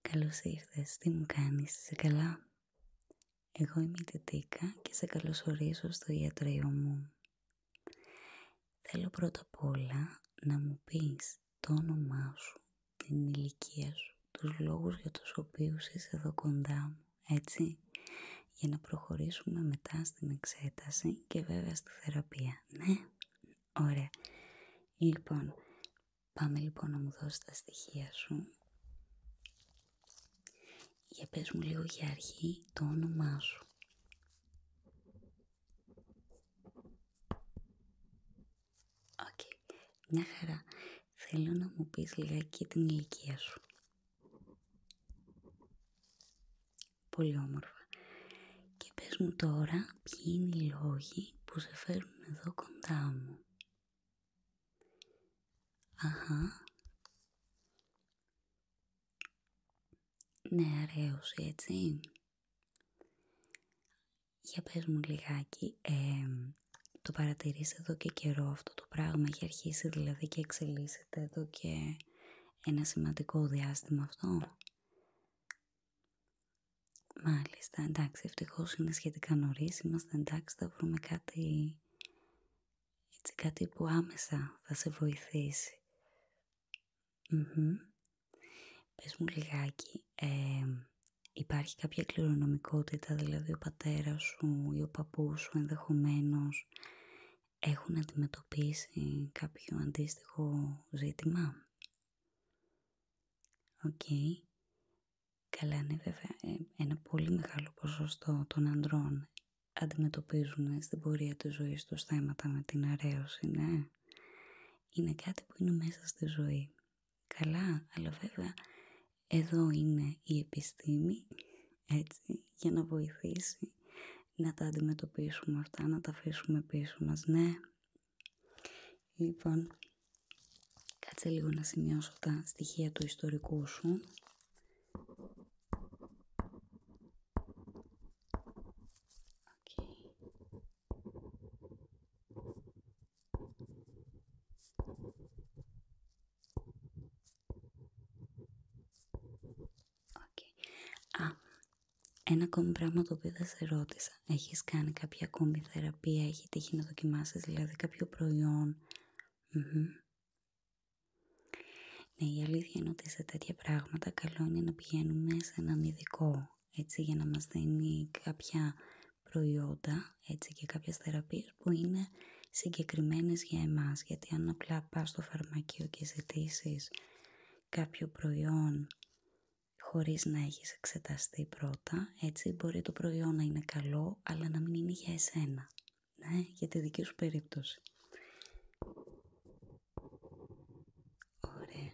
Καλώ ήρθε, τι μου κάνει είσαι καλά. Εγώ είμαι η και σε καλωσορίζω στο ιατρείο μου. Θέλω πρώτα απ' όλα να μου πει το όνομά σου την ηλικία σου, τους λόγους για τους οποίους είσαι εδώ κοντά μου, έτσι, για να προχωρήσουμε μετά στην εξέταση και βέβαια στη θεραπεία, ναι, ωραία. Λοιπόν, πάμε λοιπόν να μου δώσεις τα στοιχεία σου. Για πες μου λίγο για αρχή το όνομά σου. Οκ. Μια χαρά. Θέλω να μου πεις και την ηλικία σου. Πολύ όμορφα. Και πες μου τώρα ποιοι είναι οι λόγοι που σε φέρνουν εδώ κοντά μου. Αχα. Ναι, αραίωση, έτσι. Για πες μου λιγάκι, το παρατηρείς εδώ και καιρό αυτό το πράγμα, έχει αρχίσει δηλαδή και εξελίσσεται εδώ και ένα σημαντικό διάστημα αυτό. Μάλιστα, εντάξει, ευτυχώ είναι σχετικά νωρί. Είμαστε εντάξει, θα βρούμε κάτι, έτσι, κάτι που άμεσα θα σε βοηθησει Πες μου λιγάκι, υπάρχει κάποια κληρονομικότητα, δηλαδή ο πατέρας σου ή ο παππούς σου ενδεχομένως έχουν αντιμετωπίσει κάποιο αντίστοιχο ζήτημα. Οκ. Καλά είναι βέβαια ε, ένα πολύ μεγάλο ποσοστό των ανδρών αντιμετωπίζουν στην πορεία της ζωής τους θέματα με την αρέωση, ναι. Είναι κάτι που είναι μέσα στη ζωή. Καλά, αλλά βέβαια εδώ είναι η επιστήμη, έτσι, για να βοηθήσει να τα αντιμετωπίσουμε αυτά, να τα αφήσουμε πίσω μας, ναι. Λοιπόν, κάτσε λίγο να σημειώσω τα στοιχεία του ιστορικού σου. Α, ένα ακόμη πράγμα το οποίο δεν σε ρώτησα. Έχεις κάνει κάποια ακόμη θεραπεία, έχει τύχει να δοκιμάσεις δηλαδή κάποιο Ναι, η αλήθεια είναι ότι σε τέτοια πράγματα καλό είναι να πηγαίνουμε σε έναν ειδικό, έτσι, για να μας δίνει κάποια προϊόντα έτσι, και κάποιες θεραπείες που είναι συγκεκριμένες για εμάς. Γιατί αν απλά πας στο φαρμακείο και ζητήσει κάποιο προϊόν χωρίς να έχεις εξεταστεί πρώτα, έτσι μπορεί το προϊόν να είναι καλό, αλλά να μην είναι για εσένα, ναι, για τη δική σου περίπτωση. Ωραία.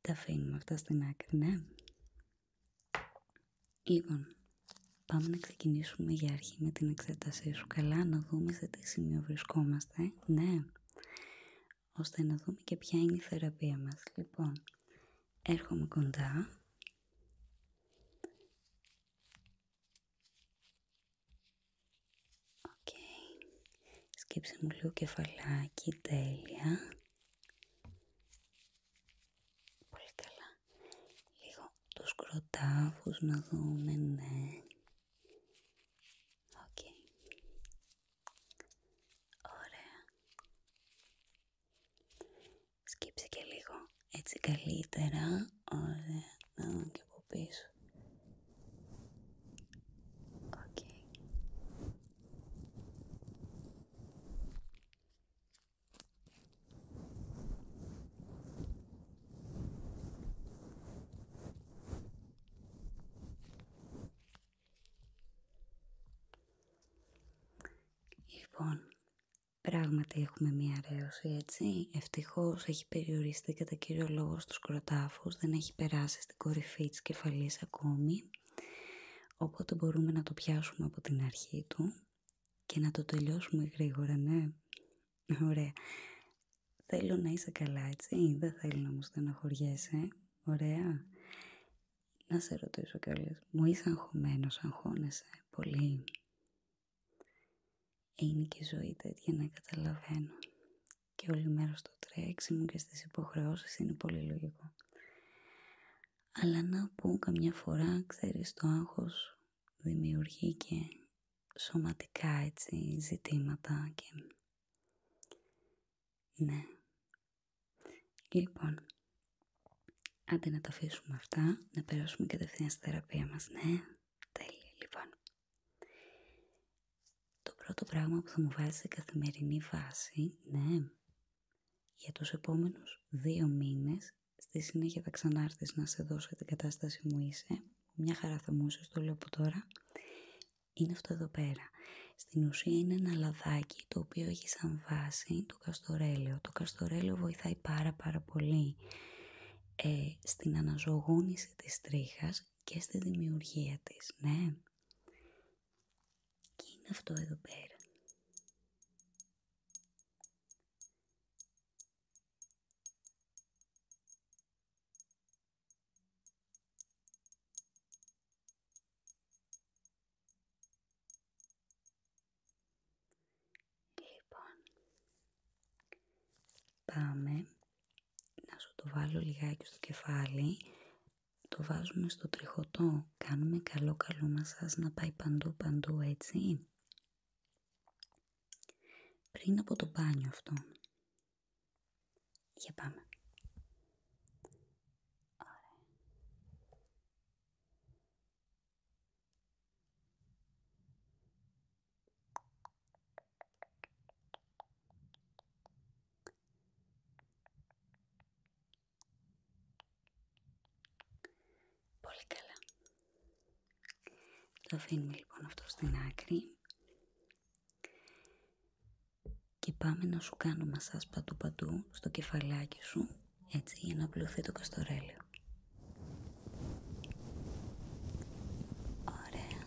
Τα αφήνουμε αυτά στην άκρη, ναι. Λοιπόν, πάμε να ξεκινήσουμε για αρχή με την εξέτασή σου. Καλά να δούμε σε τι σημείο βρισκόμαστε, ναι. Ώστε να δούμε και ποια είναι η θεραπεία μας. Λοιπόν, έρχομαι κοντά. Οκ. Σκύψε μου λίγο κεφαλάκι, τέλεια. Πολύ καλά. Λίγο τους κροτάφους να δούμε, ναι. Οκ. Ωραία. Σκύψε και λίγο έτσι καλύτερα. Ωραία. Να δούμε και από πίσω. Λοιπόν, πράγματι έχουμε μία αρέωση έτσι. Ευτυχώς έχει περιοριστεί κατά κύριο λόγο στους κροτάφους, δεν έχει έχει περάσει στην κορυφή της κεφαλής ακόμη οπότε μπορούμε να το πιάσουμε από την αρχή του και να το τελειώσουμε γρήγορα, ναι. Ωραία. Θέλω να είσαι καλά, έτσι. Δεν θέλω να μου στεναχωριέσαι. Ωραία. Να σε ρωτήσω κιόλας. Μου είσαι αγχωμένος, αγχώνεσαι πολύ. Είναι και η ζωή τέτοια να καταλαβαίνω και όλη μέρα στο τρέξιμο και στις υποχρεώσεις είναι πολύ λογικό. Αλλά να πω καμιά φορά, ξέρεις, το άγχος δημιουργεί και σωματικά έτσι ζητήματα και... Ναι. Λοιπόν, αντί να τα αφήσουμε αυτά, να περάσουμε κατευθείαν στη θεραπεία μας, ναι. Τέλεια, λοιπόν. Το πρώτο πράγμα που θα μου βάζει σε καθημερινή βάση, ναι, για τους επόμενους δύο μήνες, στη συνέχεια θα ξανάρθεις να σε δώσω την κατάσταση μου είσαι, μια χαρά θα μου είσαι, το λέω από τώρα, είναι αυτό εδώ πέρα. Στην ουσία είναι ένα λαδάκι το οποίο έχει σαν βάση το καστορέλαιο. Το καστορέλαιο βοηθάει πάρα πάρα πολύ ε, στην αναζωογόνηση της τρίχας και στη δημιουργία της, ναι. Και είναι αυτό εδώ πέρα. Λοιπόν, πάμε να σου το βάλω λιγάκι στο κεφάλι, το βάζουμε στο τριχωτό, κάνουμε καλό καλό μασάζ να πάει παντού παντού έτσι. Πριν από το μπάνιο αυτό. Για πάμε. Πολύ καλά. Το αφήνουμε λοιπόν αυτό στην άκρη. Και πάμε να σου κάνω μασάς παντού παντού στο κεφαλάκι σου, έτσι για να απλωθεί το καστορέλιο. Ωραία.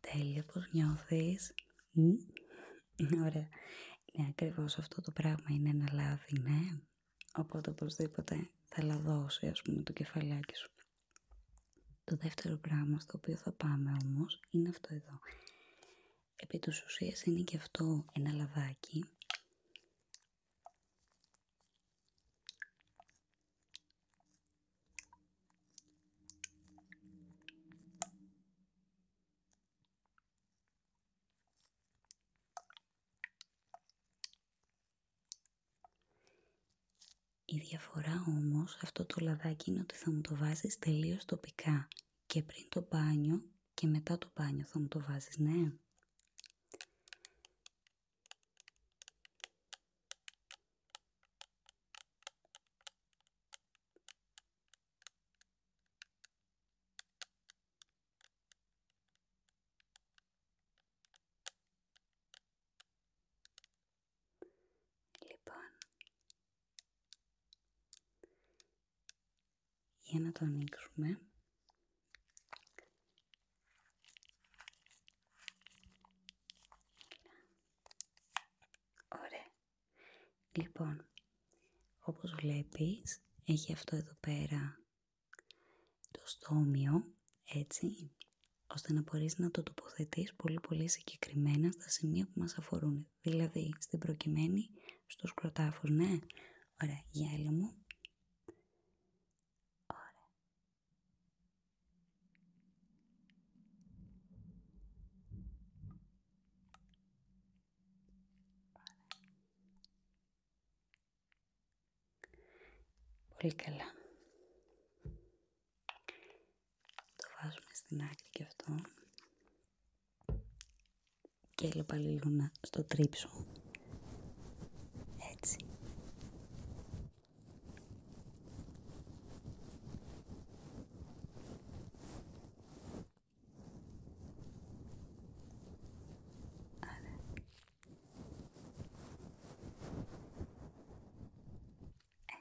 Τέλεια πως νιώθεις. Ωραία. Είναι ακριβώς αυτό το πράγμα, είναι ένα λάδι, ναι. Οπότε οπωσδήποτε θα λαδώσει ας πούμε το κεφαλάκι σου. Το δεύτερο πράγμα στο οποίο θα πάμε όμως είναι αυτό εδώ. Επί τους ουσίες είναι και αυτό ένα λαδάκι η διαφορά όμως αυτό το λαδάκι είναι ότι θα μου το βάζεις τελείως τοπικά και πριν το μπάνιο και μετά το μπάνιο θα μου το βάζεις, ναι. Λοιπόν, για να το ανοίξουμε Ωραία. Λοιπόν, όπως βλέπεις, έχει αυτό εδώ πέρα το στόμιο, έτσι, ώστε να μπορείς να το τοποθετείς πολύ πολύ συγκεκριμένα στα σημεία που μας αφορούν. Δηλαδή, στην προκειμένη, στο σκροτάφος, ναι. Ωραία, γυάλι μου. Ωραία. Πολύ καλά. Το βάζουμε στην άκρη και αυτό. Και έλα πάλι στο τρίψω. Έτσι.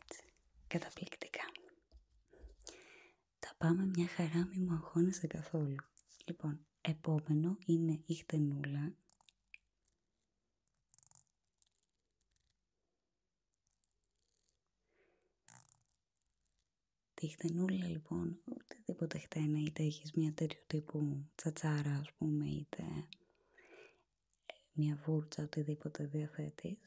Έτσι, καταπληκτικά. Τα πάμε μια χαρά, μη μου αγχώνεσαι καθόλου. Λοιπόν, επόμενο είναι η χτενούλα. Τη χτενούλα λοιπόν, οτιδήποτε χτένα, είτε έχεις μια τέτοιου τύπου τσατσάρα α πούμε, είτε μια βούρτσα, οτιδήποτε διαθέτει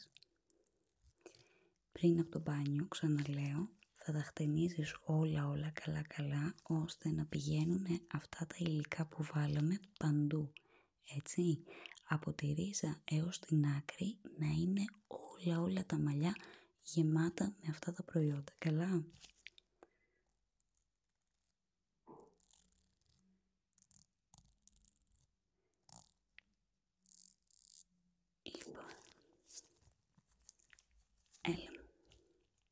Πριν από το μπάνιο, ξαναλέω, θα τα χτενίζεις όλα όλα καλά καλά, ώστε να πηγαίνουν αυτά τα υλικά που βάλαμε παντού, έτσι. Από τη ρίζα έως την άκρη να είναι όλα όλα τα μαλλιά γεμάτα με αυτά τα προϊόντα. Καλά. Λοιπόν,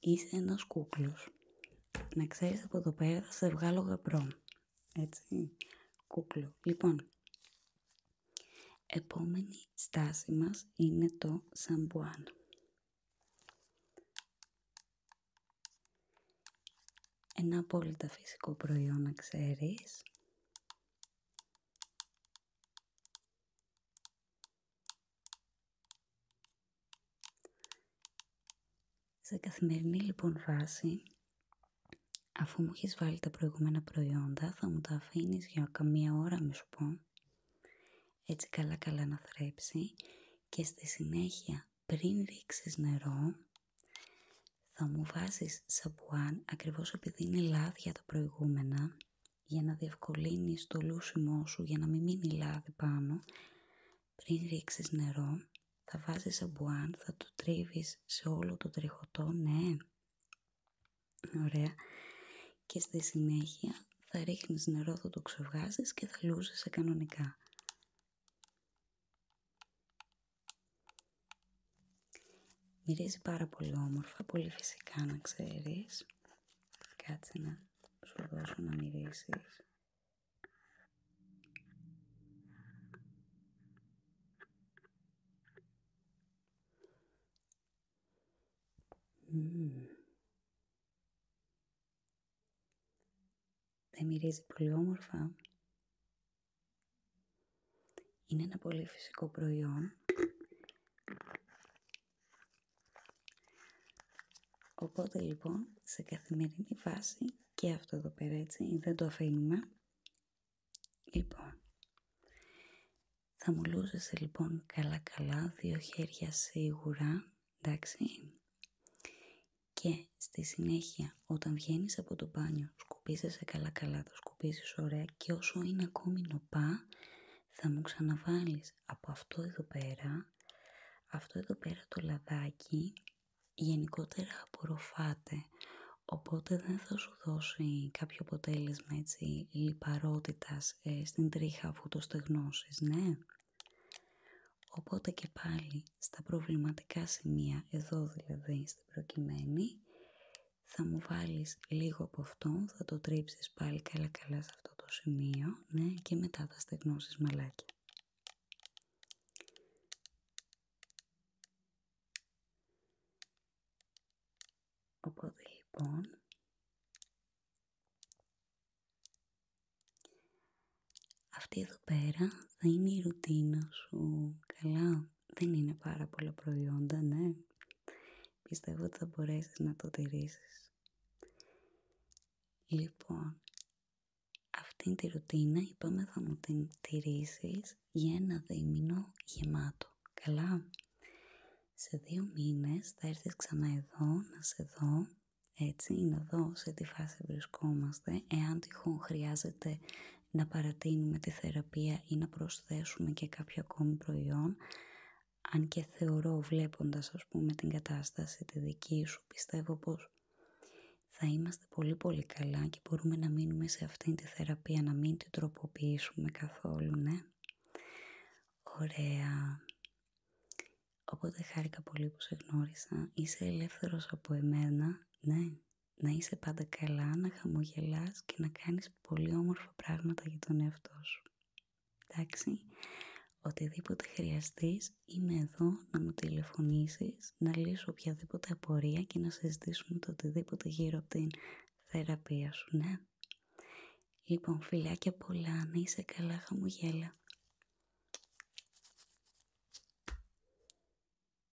Είσαι ένα κούκλος. Να ξέρεις από το πέρα σε βγάλω γαμπρό. Έτσι, κούκλο. Λοιπόν, επόμενη στάση μας είναι το σαμπουάν. Ένα απόλυτα φυσικό προϊόν, να ξέρεις. Σε καθημερινή λοιπόν βάση, αφού μου έχεις βάλει τα προηγούμενα προϊόντα, θα μου τα αφήνεις για καμία ώρα να σου πω, έτσι καλά καλά να θρέψει και στη συνέχεια πριν ρίξεις νερό θα μου βάζει σαμπουάν ακριβώς επειδή είναι λάδια τα προηγούμενα για να διευκολύνεις το λούσιμό σου για να μην μείνει λάδι πάνω πριν ρίξεις νερό θα βάζει σαμπουάν, θα το τρίβεις σε όλο το τριχωτό, ναι ωραία και στη συνέχεια θα ρίχνεις νερό, θα το ξεβγάζεις και θα λούζεσαι κανονικά Μυρίζει πάρα πολύ όμορφα, πολύ φυσικά να ξέρεις. Κάτσε να σου δώσω να μυρίσεις. Δεν μυρίζει πολύ όμορφα. Είναι ένα πολύ φυσικό προϊόν, οπότε λοιπόν σε καθημερινή βάση και αυτό εδώ πέρα έτσι, δεν το αφήνουμε. Λοιπόν, θα μιλούσε λοιπόν καλά καλά, δύο χέρια σίγουρα, εντάξει, και στη συνέχεια όταν βγαίνει από το μπάνιο, σκουπίζεσαι καλά-καλά, το σκουπίζεις ωραία και όσο είναι ακόμη νοπά, θα μου ξαναβάλεις από αυτό εδώ πέρα, αυτό εδώ πέρα το λαδάκι, γενικότερα απορροφάται. Οπότε δεν θα σου δώσει κάποιο αποτέλεσμα έτσι λιπαρότητας ε, στην τρίχα αφού το στεγνώσεις, ναι. Οπότε και πάλι στα προβληματικά σημεία, εδώ δηλαδή προκειμένη. Θα μου βάλεις λίγο από αυτό, θα το τρίψεις πάλι καλά καλά σε αυτό το σημείο, ναι, και μετά θα στεγνώσεις μαλάκι. Οπότε λοιπόν, αυτή εδώ πέρα θα είναι η ρουτίνα σου, καλά δεν είναι πάρα πολλά προϊόντα, ναι. Πιστεύω ότι θα μπορέσεις να το τηρήσεις. Λοιπόν, αυτήν τη ρουτίνα είπαμε θα μου την τηρήσεις για ένα δίμηνο γεμάτο. Καλά. Σε δύο μήνες θα έρθεις ξανά εδώ να σε δω έτσι, να δω σε τι φάση βρισκόμαστε, εάν τυχόν χρειάζεται να παρατείνουμε τη θεραπεία ή να προσθέσουμε και κάποιο ακόμη προϊόν αν και θεωρώ βλέποντας ας πούμε την κατάσταση τη δική σου πιστεύω πως θα είμαστε πολύ πολύ καλά και μπορούμε να μείνουμε σε αυτήν τη θεραπεία να μην την τροποποιήσουμε καθόλου ναι ωραία οπότε χάρηκα πολύ που σε γνώρισα είσαι ελεύθερος από εμένα ναι να είσαι πάντα καλά, να χαμογελάς και να κάνεις πολύ όμορφα πράγματα για τον εαυτό σου. Εντάξει, οτιδήποτε χρειαστείς είμαι εδώ να μου τηλεφωνήσεις, να λύσω οποιαδήποτε απορία και να συζητήσουμε το οτιδήποτε γύρω από την θεραπεία σου, ναι. Λοιπόν, φιλάκια πολλά, να είσαι καλά, χαμογέλα.